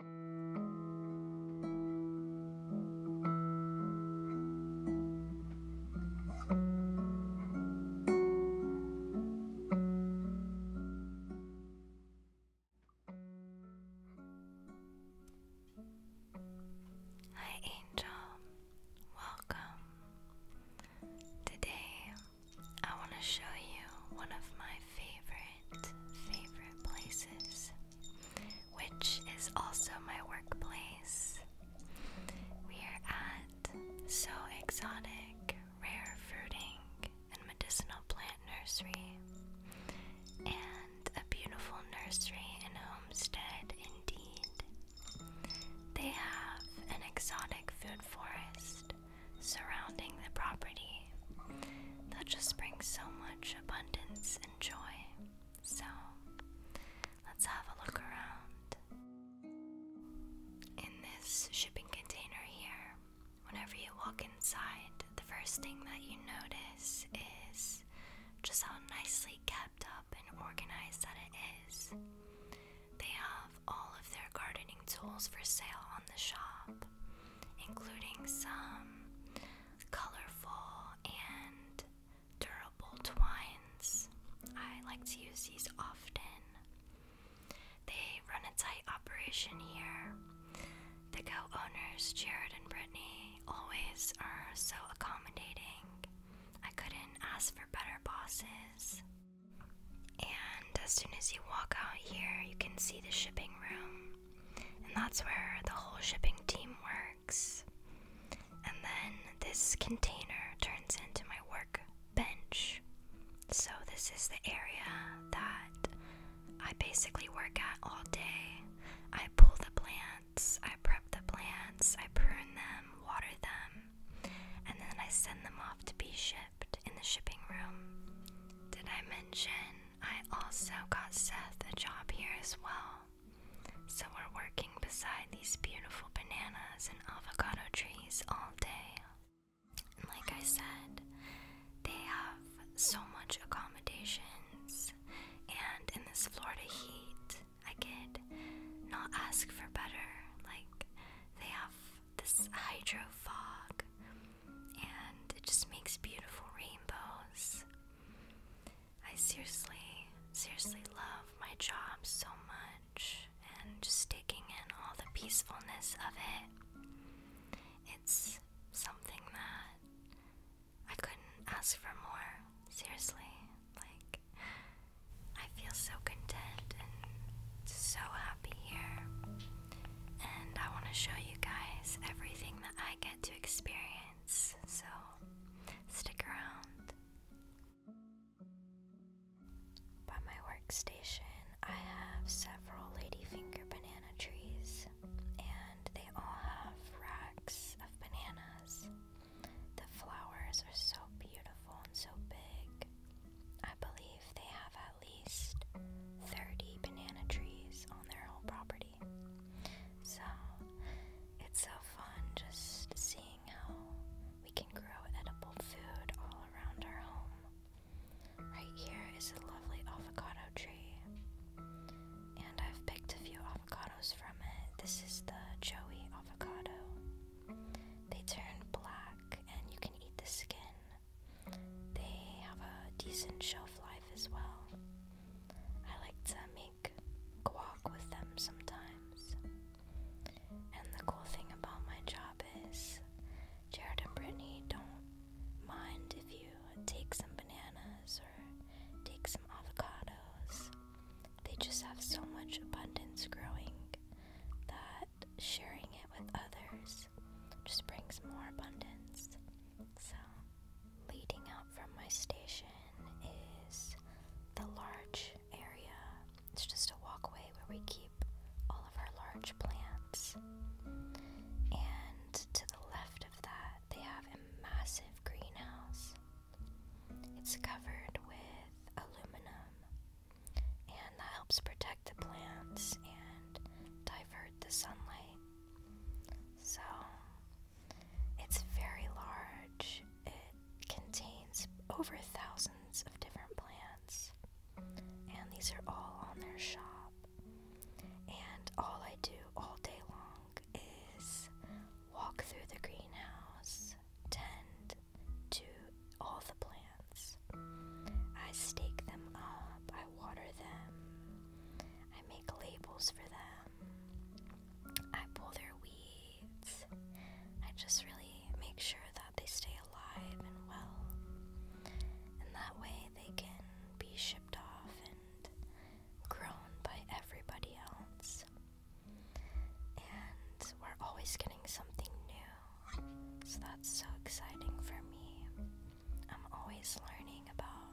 Hi, Angel. Welcome. Today, I want to show you one of my favorite favorite places, which is also my workplace. We are at So Exotic Rare Fruiting and Medicinal Plant Nursery and a beautiful nursery and homestead indeed. They have an exotic food forest surrounding the property that just brings so much abundance and joy. So let's have a look around. In this shipping container here, whenever you walk inside, the first thing that you notice is just how nicely kept up and organized that it is. They have all of their gardening tools for sale on the shop, including some colorful and durable twines. I like to use these often. They run a tight operation here. The co owners, Jared and Brittany, always are so accommodating. I couldn't ask for better bosses. And as soon as you walk out here, you can see the shipping room. And that's where the whole shipping team works. And then this container turns into my work bench. So, this is the area that I basically work at all day. I pull the plants, I prep the plants, I prune them, water them, and then I send them off to be shipped in the shipping room. Did I mention I also got Seth a job here as well. So we're working beside these beautiful bananas and avocado trees all day. And like I said, they have so much accommodations, and in this Florida heat, I could not ask for better. Like, they have this hydro fog and it just makes beautiful rainbows. I seriously, seriously love my job so much and just taking in all the peacefulness of it. It's something that I couldn't ask for more, seriously. Like, I feel so content and so happy here. And I want to show you guys everything that I get to experience, so stick around. By my workstation, I have several ladyfinger banana trees, and they all have racks of bananas. The flowers are so beautiful and so big. I believe they have at least 30 banana trees on their whole property. So it's so fun just seeing how we can grow edible food all around our home. Right here is a lovely avocado tree, and I've picked a few avocados from it. This is the Joey avocado. They turn black, and you can eat the skin. They have a decent shelf life as well. I like to make walk with them sometimes. And the cool thing about my job is Jared and Brittany don't mind if you take some bananas or take some avocados. They just have so much abundance growing that sharing it with others just brings more abundance. So, leading out from my station is the large area. It's just a walkway where we keep all of our large plants. And to the left of that, they have a massive greenhouse. It's covered with aluminum, and that helps protect the plants and divert the sunlight so it's very large. It contains over thousands of different plants, and these are all on their shop. And all I do all day long is walk through the greenhouse, tend to all the plants. I stake them up, I water them, I make labels for them. I pull their weeds. I just really make sure that they stay alive and well. And that way they can be shipped off and grown by everybody else. And we're always getting something new. So that's so exciting for me. I'm always learning about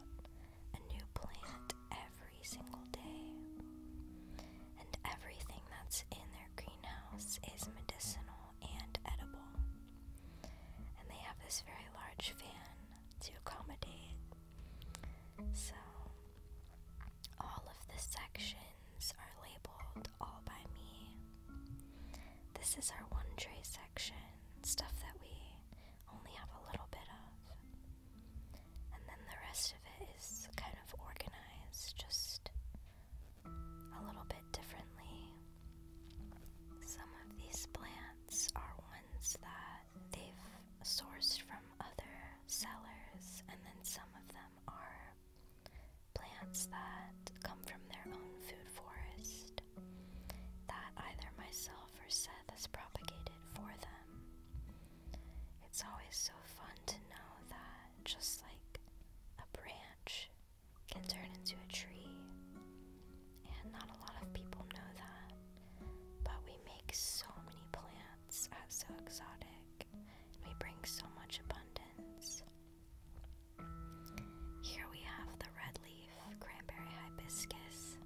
a new plant every single day. And everything that's in their greenhouse is medicinal and edible. And they have this very large fan to accommodate. So, all of the sections are labeled all by me. This is our one tray section, stuff that we only have a little bit of. And then the rest of it is kind of organized, just a little bit differently. Some of these plants are ones that they've sourced from other sellers, and then some of them are plants that come from their own food forest that either myself or Seth that's propagated for them. It's always so fun to know that just like a branch can turn into a tree, and not a lot of people know that. But we make so many plants at So Exotic, we bring so much abundance. Here we have the red leaf cranberry hibiscus.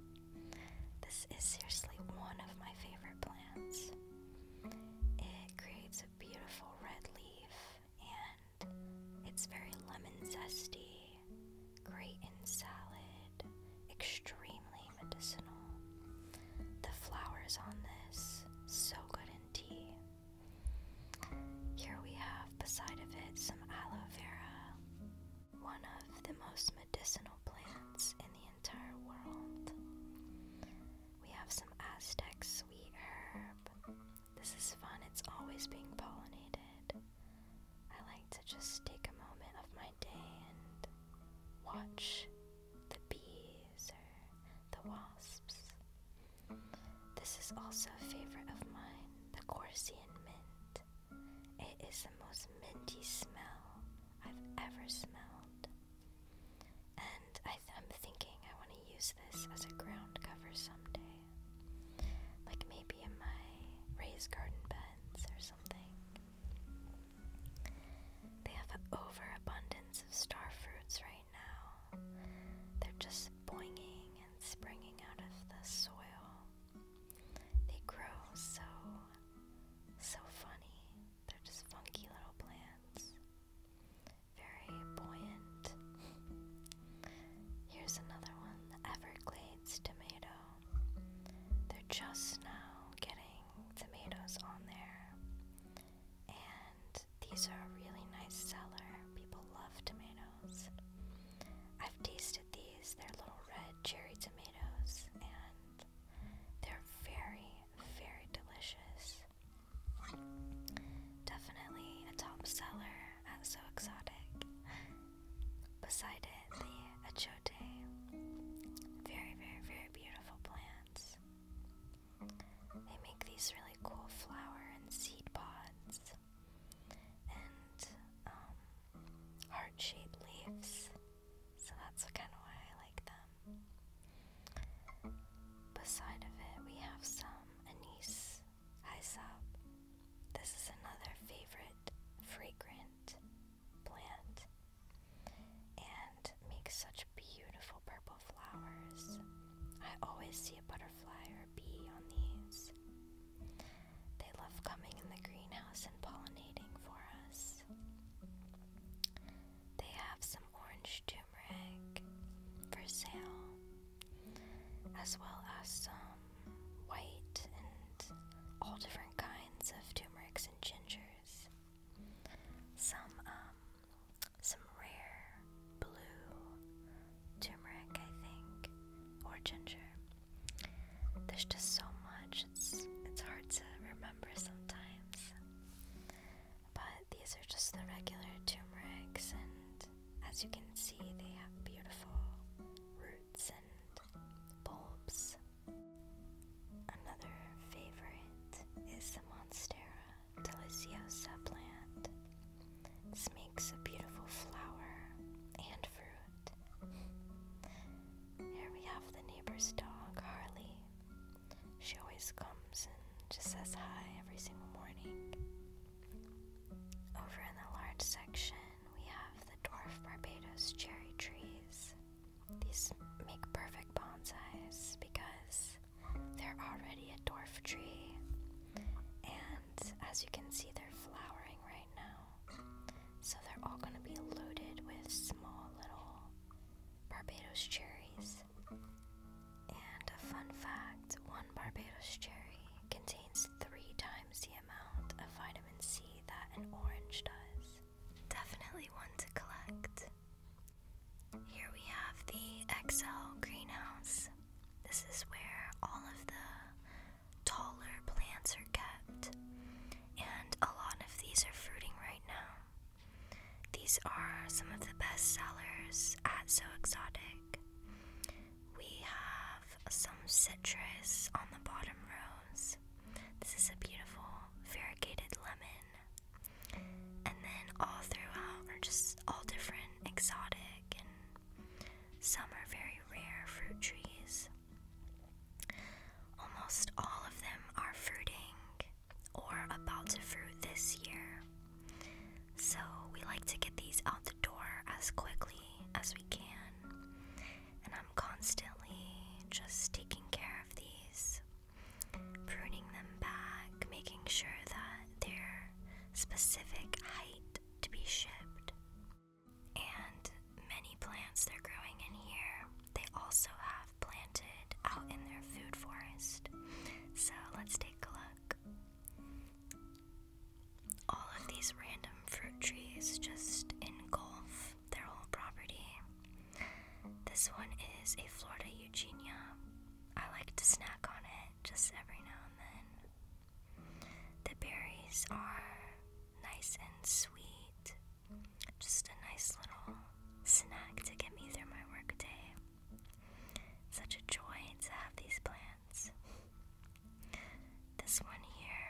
This is seriously one of my favorite plants. It creates a beautiful red leaf and it's very lemon zesty, great in salad, extremely medicinal. The flowers on this, so good in tea. Here we have beside of it some aloe vera, one of the most medicinal plants in the entire world. We have some Aztec sweet herb. This is fun, it's always being pollinated. I like to just take a moment of my day and watch the bees or the wasps. This is also a favorite of mine, the Corsian mint. It is the most minty smell I've ever smelled. And I am thinking I want to use this as a ground cover someday. Like maybe in my raised garden beds or something. They have an overabundance of star fruits right now. They're just boinging and springing out of the soil. They grow so, so funny. They're just funky little plants. Very buoyant. Here's another one the Everglades tomato. They're just now getting tomatoes on there. And these are a really nice seller. People love tomatoes. I've tasted these, they're little red cherry tomatoes, and they're very, very delicious. Definitely a top seller at So Exotic. Beside it, the achote. Very, very, very beautiful plants. They make these really cool flower and seed pods. And um, heart shaped leaves, so that's kind of why I like them. Beside of it, we have some anise, hyssop. This is another favorite fragrant plant and makes such beautiful purple flowers. I always see a butterfly or a bee on these. They love coming in the greenhouse and pollinating for us. They have some orange turmeric for sale, as well as some white and all different kinds of turmeric and gingers. Some um, some rare blue turmeric I think or ginger. There's just so much. It's it's hard to remember sometimes. But these are just the regular turmeric, and as you can see they have beautiful roots and bulbs. Another favorite is the Monstera deliciosa plant. This makes a beautiful flower and fruit. Here we have the neighbor's dog, Harley. She always comes and just says hi every single morning. Over in the large section, we have the dwarf Barbados cherry trees. These make perfect bonsais because they're already a dwarf tree, and as you can see, they're flowering right now. So they're all going to be loaded with small little Barbados cherries. And a fun fact one Barbados cherry contains three times the amount of vitamin C that an orange does. Definitely one to collect. Here we have the XL greenhouse. This is where all of the taller plants are kept. And a lot of these are fruiting right now. These are some of the best sellers at So Exotic. We have some citrus on the bottom rows. This is a beautiful variegated lemon. And then all throughout are just all different exotic and some are very rare fruit trees. Almost all of them are fruiting or about to fruit this year. So we like to get these out the door as quickly as we can. And I'm constantly just taking care of these, pruning them back, making sure that they're specific height to be shipped. And many plants they're growing in here, they also have planted out in their food forest. So let's take a look. All of these random fruit trees just engulf their whole property. This one is a Florida Eugenia. I like to snack on it just every now and then. The berries are nice and sweet, just a nice little snack to get me through my work day. such a joy to have these plants. This one here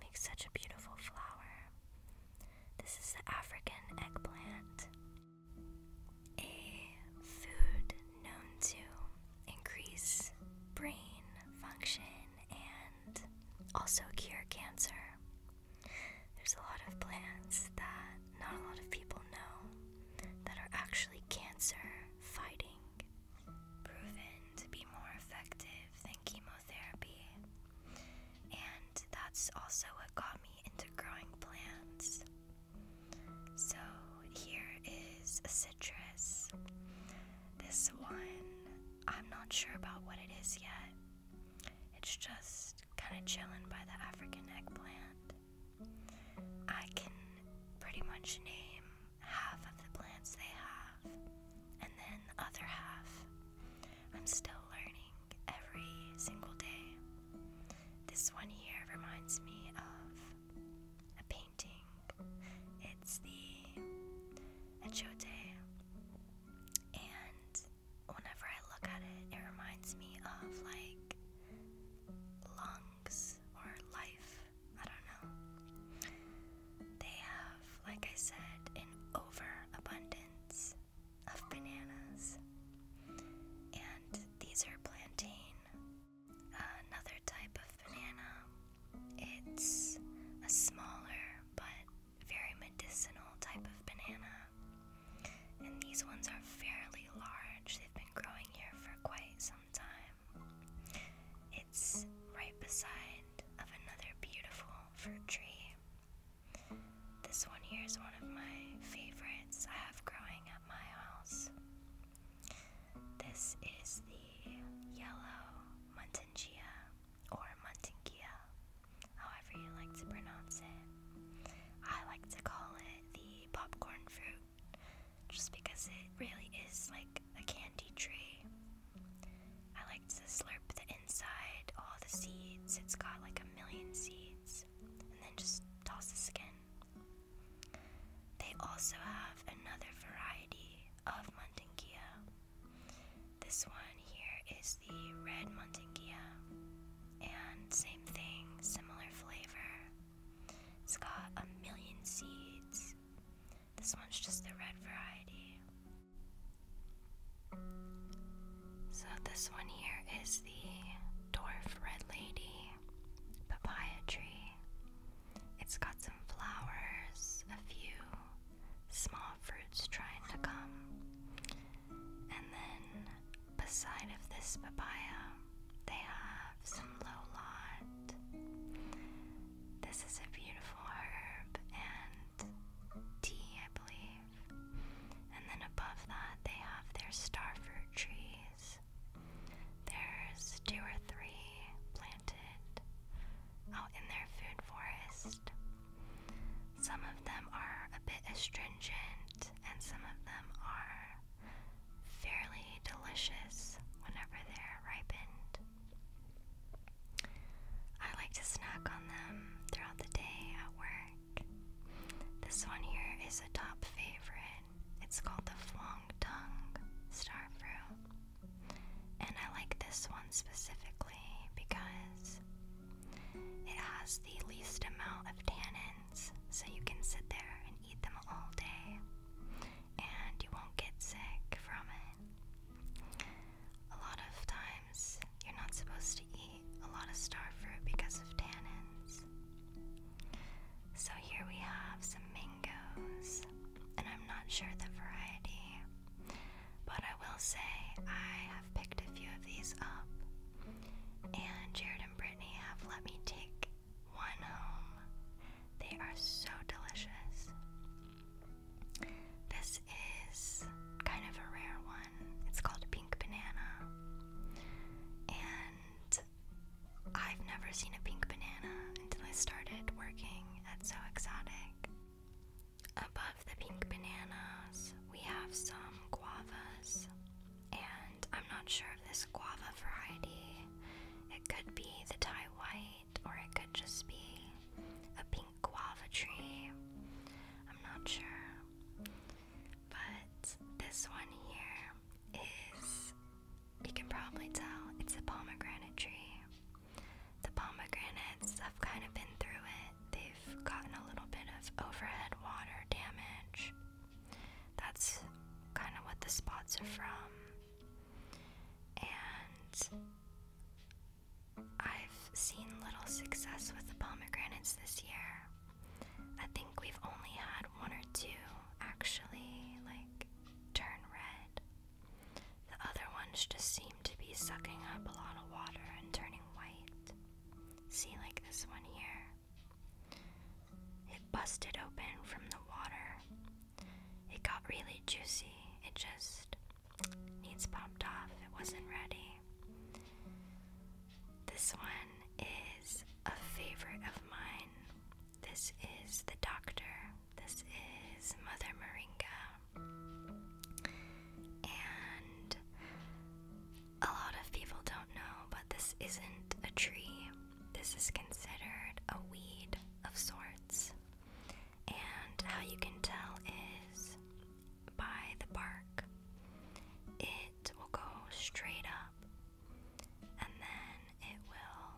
makes such a beautiful flower. This is the African eggplant, a food known to increase brain function and also cure cancer. There's a lot of plants that not a lot of people know that are actually cancer fighting, proven to be more effective than chemotherapy. And that's also what got me into growing plants. So here is a citrus. This one, I'm not sure about what it is yet. It's just kind of chilling by the African eggplant. I can pretty much name half of the plants they have, and then the other half. I'm still learning every single day. This one here reminds me of a painting. It's the Echote and whenever I look at it, it reminds me of like lungs or life. I don't know. They have, like I said, an abundance of bananas, and these are plantain, another type of banana. It's a smaller but very medicinal type of banana. And these ones are fairly large. They've been growing here for quite some time. It's right beside of another beautiful fruit tree. This one here is one of my favorites I have growing at my house. This is the yellow Montangia or Mantinkia, however you like to pronounce it. I like to call it the popcorn fruit just because it really is like a candy tree. I like to slurp the inside, all the seeds. It's got like a million seeds. And then just toss the skin. They also have another variety of Mantinkia this one here is the red Montingia, and same thing, similar flavor. It's got a million seeds. This one's just the red variety. So, this one here is the Dwarf Red Lady Papaya Tree. It's got some flowers, a few small fruits trying to come. And then beside of this papaya, they have some lolot. This is a beautiful herb and tea, I believe. And then above that, they have their starfruit trees. There's two or three planted out in their food forest. Some of them are a bit astringent, and some of them are fairly delicious whenever they're ripened. I like to snack on them throughout the day at work. This one here is a top favorite. It's called the Fwong Tung Star Fruit. And I like this one specifically because it has the least amount of tannins, so you can sit there and eat them all day, and you won't get sick from it. A lot of times, you're not supposed to eat a lot of star fruit because of tannins. So here we have some mangoes, and I'm not sure the variety, but I will say, I have picked a few of these up, and Jared and Brittany have let me take one home. They are so delicious. This is kind of a rare one. It's called Pink Banana, and I've never seen a pink banana until I started working at So Exotic. Above the pink bananas, we have some guavas, and I'm not sure of this guava variety. It could be the Thai white, or it could just be a pink guava tree. I'm not sure. But this one here is, you can probably tell, it's a pomegranate tree. The pomegranates have kind of been through it. They've gotten a little bit of overhead water damage. That's kind of what the spots are from. And I've seen little success with the pomegranates this year. I think we've only had one or two actually like turn red. The other ones just seem to be sucking up a lot of water and turning white. See, like this one here. It busted open from the water. It got really juicy. It just needs pumped off. It wasn't ready. This one is a favorite of mine. This is the doctor. This is Mother Moringa. And a lot of people don't know, but this isn't a tree. This is considered a weed of sorts. And how you can tell is by the bark. It will go straight up and then it will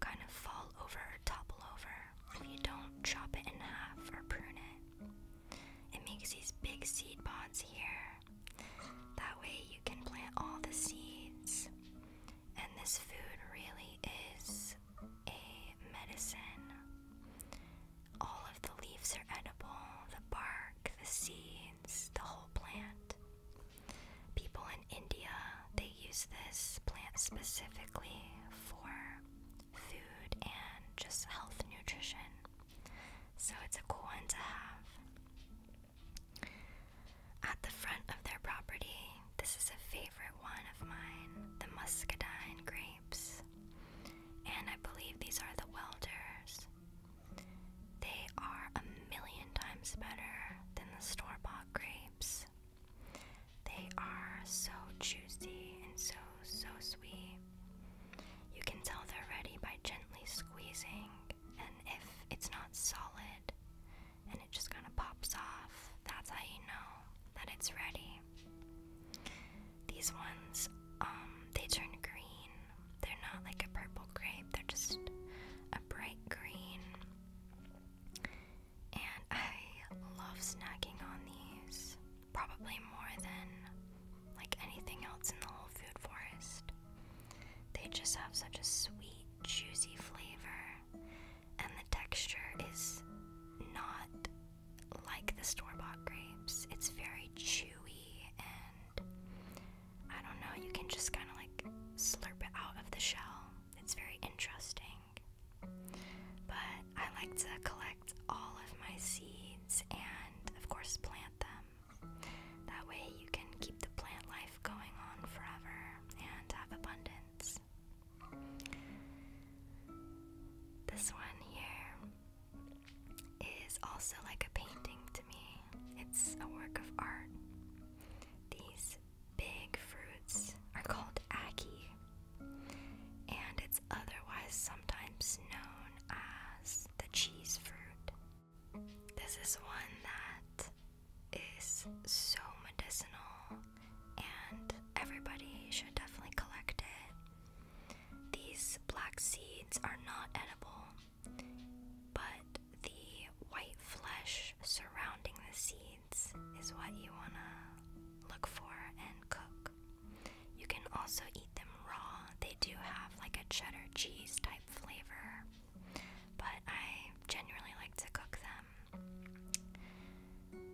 kind of fall over, topple over if you don't chop it in half or prune it. It makes these big seed pods here. That way you can plant all the seeds. And this food really is a medicine. All of the leaves are edible, the bark, the seeds, the whole plant. People in India, they use this plant specifically for food and just health nutrition. So it's a cool one to have. At the front of their property, this is a favorite one of mine the muscadine grapes. And I believe these are the welders. They are a million times better than the store bought grapes. They are so juicy and so so sweet. You can tell they're ready by gently squeezing, and if it's not solid and it just kind of pops off, that's how you know that it's ready. These ones, um, they turn green. They're not like a purple grape, they're just a bright green. And I love snacking on these probably more than like anything else in the whole food forest. They just have such a sweet, juicy flavor, and the texture is not like the store bought grapes. It's very chewy, and I don't know, you can just kind of like slurp it out of the shell. It's very interesting. But I like to collect all of my seeds and, of course, plant them. That way, you can keep the plant life going on forever and have abundance. This one here is also like a painting to me, it's a work of art. These big fruits are called ackee, and it's otherwise sometimes known as the cheese fruit. This is one that is so medicinal, and everybody should definitely collect it. These black seeds are not edible, but the white flesh surrounding the seeds is what you want to look for and cook. You can also eat them raw. They do have like a cheddar cheese type flavor, but I genuinely like to cook them.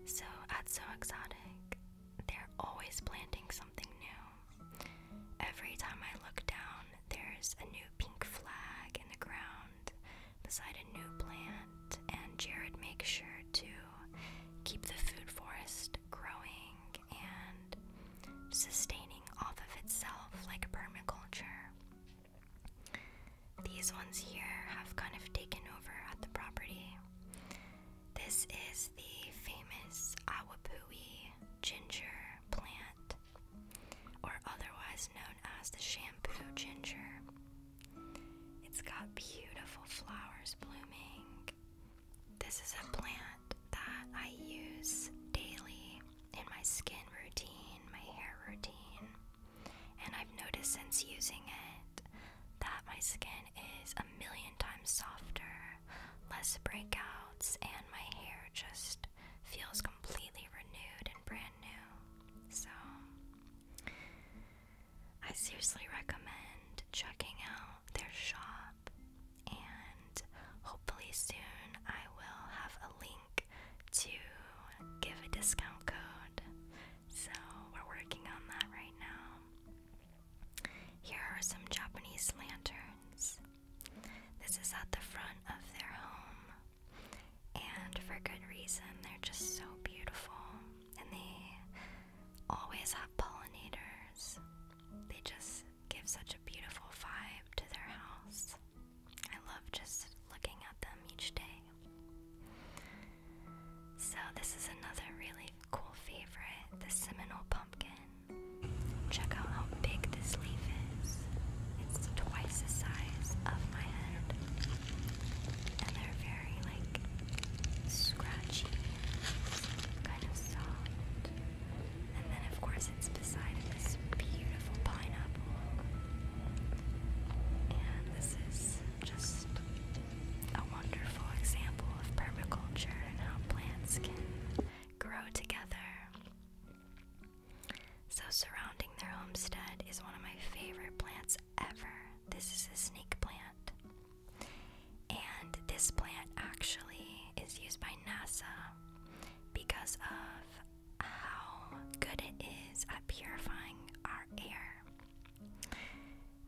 So that's So Exotic, they're always planting something new. Every time I look down, there's a new pink flag in the ground beside a new plant, and Jared makes sure to keep the food forest growing and sustaining off of itself like permaculture. These ones here have kind of taken over at the property. This is the famous Awapui ginger plant, or otherwise known as the shampoo ginger. It's got beautiful flowers blooming, this is a plant that I use daily in my skin routine, my hair routine, and I've noticed since using it that my skin is a million times softer, less breakouts, and my hair just feels completely renewed and brand new. So, I seriously recommend checking out their shop, and hopefully, soon I will have a link to give a discount code. So, we're working on that right now. Here are some Japanese lanterns. This is at the front of their home, and for good reason, they're just so beautiful and they always have pollinators. They just give such a beautiful vibe to their house. I love just looking at them each day. So, this is another really cool favorite the Seminole pumpkin. Check out how big this leaf is, it's twice the size of my head. And they're very like scratchy, soft. And then, of course, it's beside this beautiful pineapple. And this is just a wonderful example of permaculture and how plants can grow together. So, surrounding their homestead is one of my favorite plants ever. This is a snake plant. And this plant actually is used by NASA because of how good it is at purifying our air.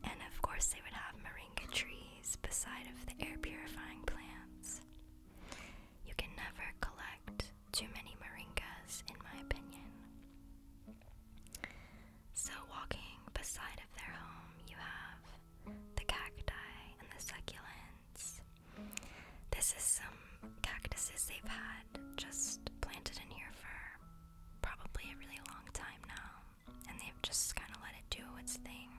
And of course, they would have moringa trees beside of the air purifying plants. You can never collect too many moringas, in my opinion. So, walking beside of their home, you have the cacti and the succulents. This is some cactuses they've had just planted in here for probably a really long time now, and they've just kind of let it do its thing.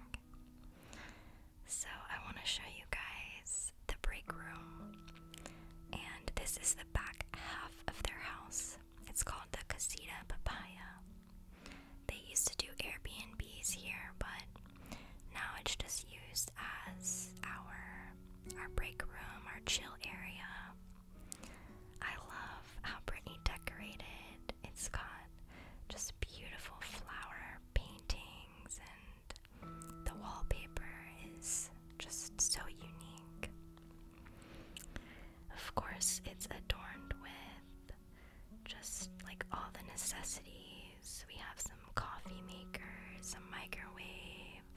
So, I want to show you guys the break room, and this is the back half of their house. It's called the Casita Papaya. They used to do Airbnbs here, but now it's just used as our our break room, our chill area. I love how Brittany decorated. It's got just beautiful flower paintings and the wallpaper is just so unique. Of course, it's adorned with just like all the necessities. We have some coffee makers, a microwave.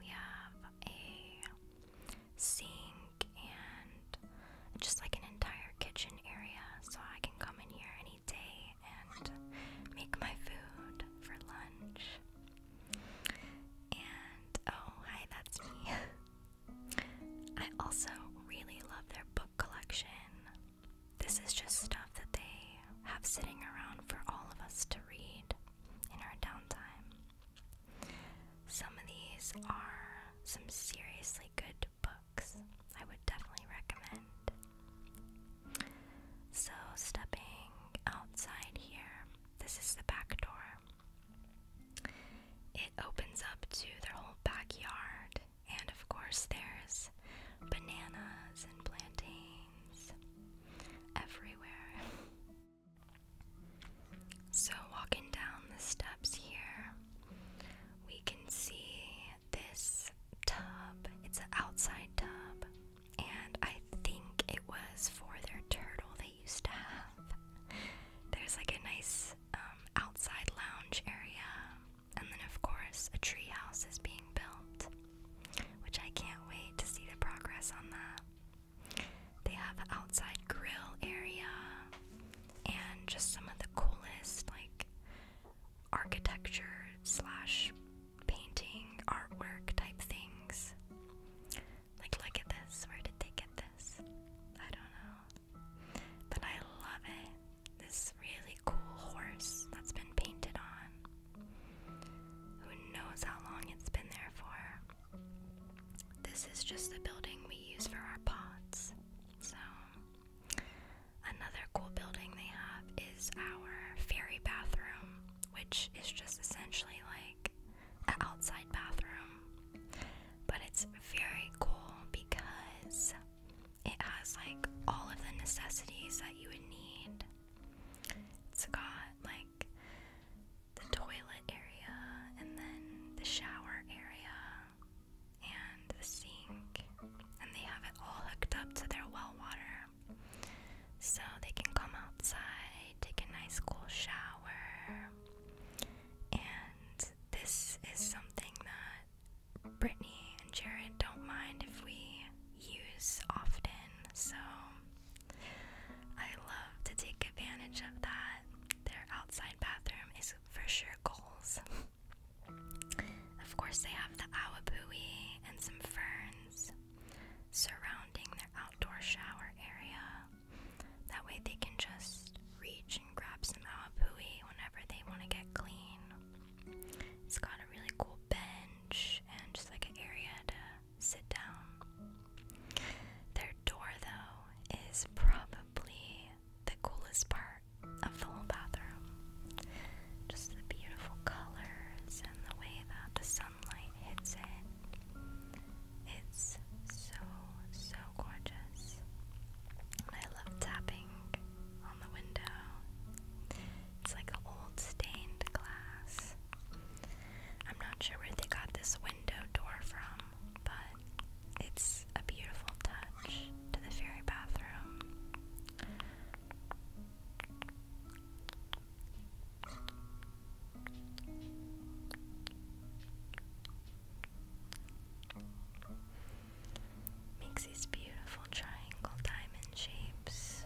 We have a sink and just like an entire kitchen area so I can come in here any day and make my food for lunch. And oh, hi, that's me. I also really love their book collection. This is just stuff that they have sitting around for all of us to read in our downtime. Some of these are some seriously good books I would definitely recommend. So, stepping outside here, this is the back door. It opens up to their whole backyard, and of course, there's bananas and plantains everywhere. So, walking down the steps here, we can see this tub. It's an outside tub, and I think it was for their turtle they used to have. There's like a nice um, outside lounge area, and then, of course, a tree house is being built, which I can't wait to see the progress on that. They have an outside grill area and just some of the coolest, like, architecture slash painting, artwork type things. Like, look at this. Where did they get this? I don't know. But I love it. This really cool horse that's been painted on. Who knows how long it's been there for? This is just the building we use for our pots. So, another cool building they have is our fairy bathroom, which is just essentially like an outside bathroom but it's very cool because it has like all of the necessities that you would need. It's got like the toilet area and then the shower area and the sink, and they have it all hooked up to their well water so they can come outside, take a nice cool shower. And this is something that Brittany and Jared don't mind if we use often, so I love to take advantage of that. Their outside bathroom is for sure goals. of course, they have the awabui and some ferns surrounding their outdoor shower area. That way, they can just reach grab some Awapui whenever they want to get clean. It's got a really cool bench and just like an area to sit down. Their door, though, is probably the coolest part of the bathroom. Just the beautiful colors and the way that the sunlight hits it. It's so, so gorgeous. I love tapping on the window. It's like an old stained glass. I'm not sure where they got this window door from, but it's a beautiful touch to the fairy bathroom. Makes these beautiful triangle diamond shapes.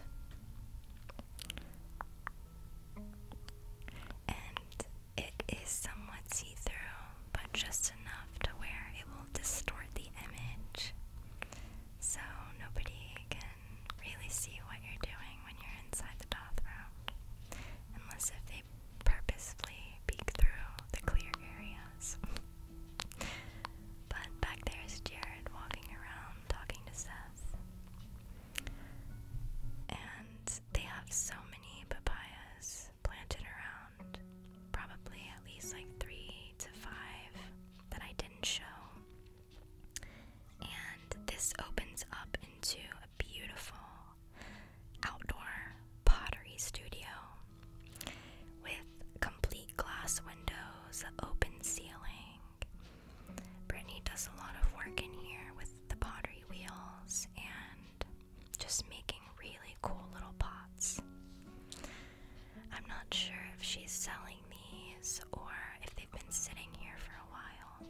And it is somewhat see through, but just enough to where it will distort the image so nobody can really see what you're doing when you're inside the bathroom. Unless if they purposefully peek through the clear areas. but back there is Jared walking around talking to Seth. And they have so many papayas planted around, probably at least like three to five that I didn't show. And this opens up into a beautiful outdoor pottery studio with complete glass windows, open ceiling. Brittany does a lot of work in here with the pottery wheels and just making really cool little pots. I'm not sure if she's selling these or if they've been sitting here for a while,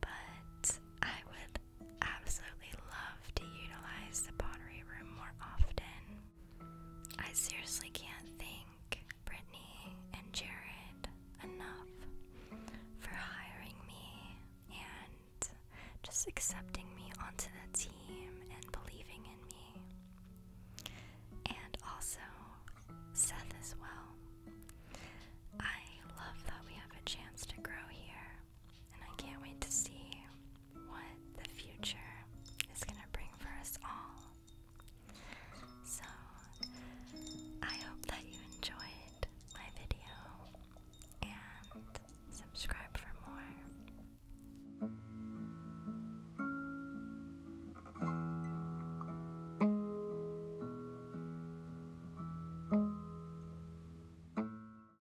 but I would absolutely love to utilize the pottery room more often. I seriously can't thank Brittany and Jared enough for hiring me and just accepting me onto the team and believing in me. And also Seth as well. I love that we have a chance to grow here and I can't wait to see what the future is going to bring for us all. So, I hope that you enjoyed my video and subscribe for more.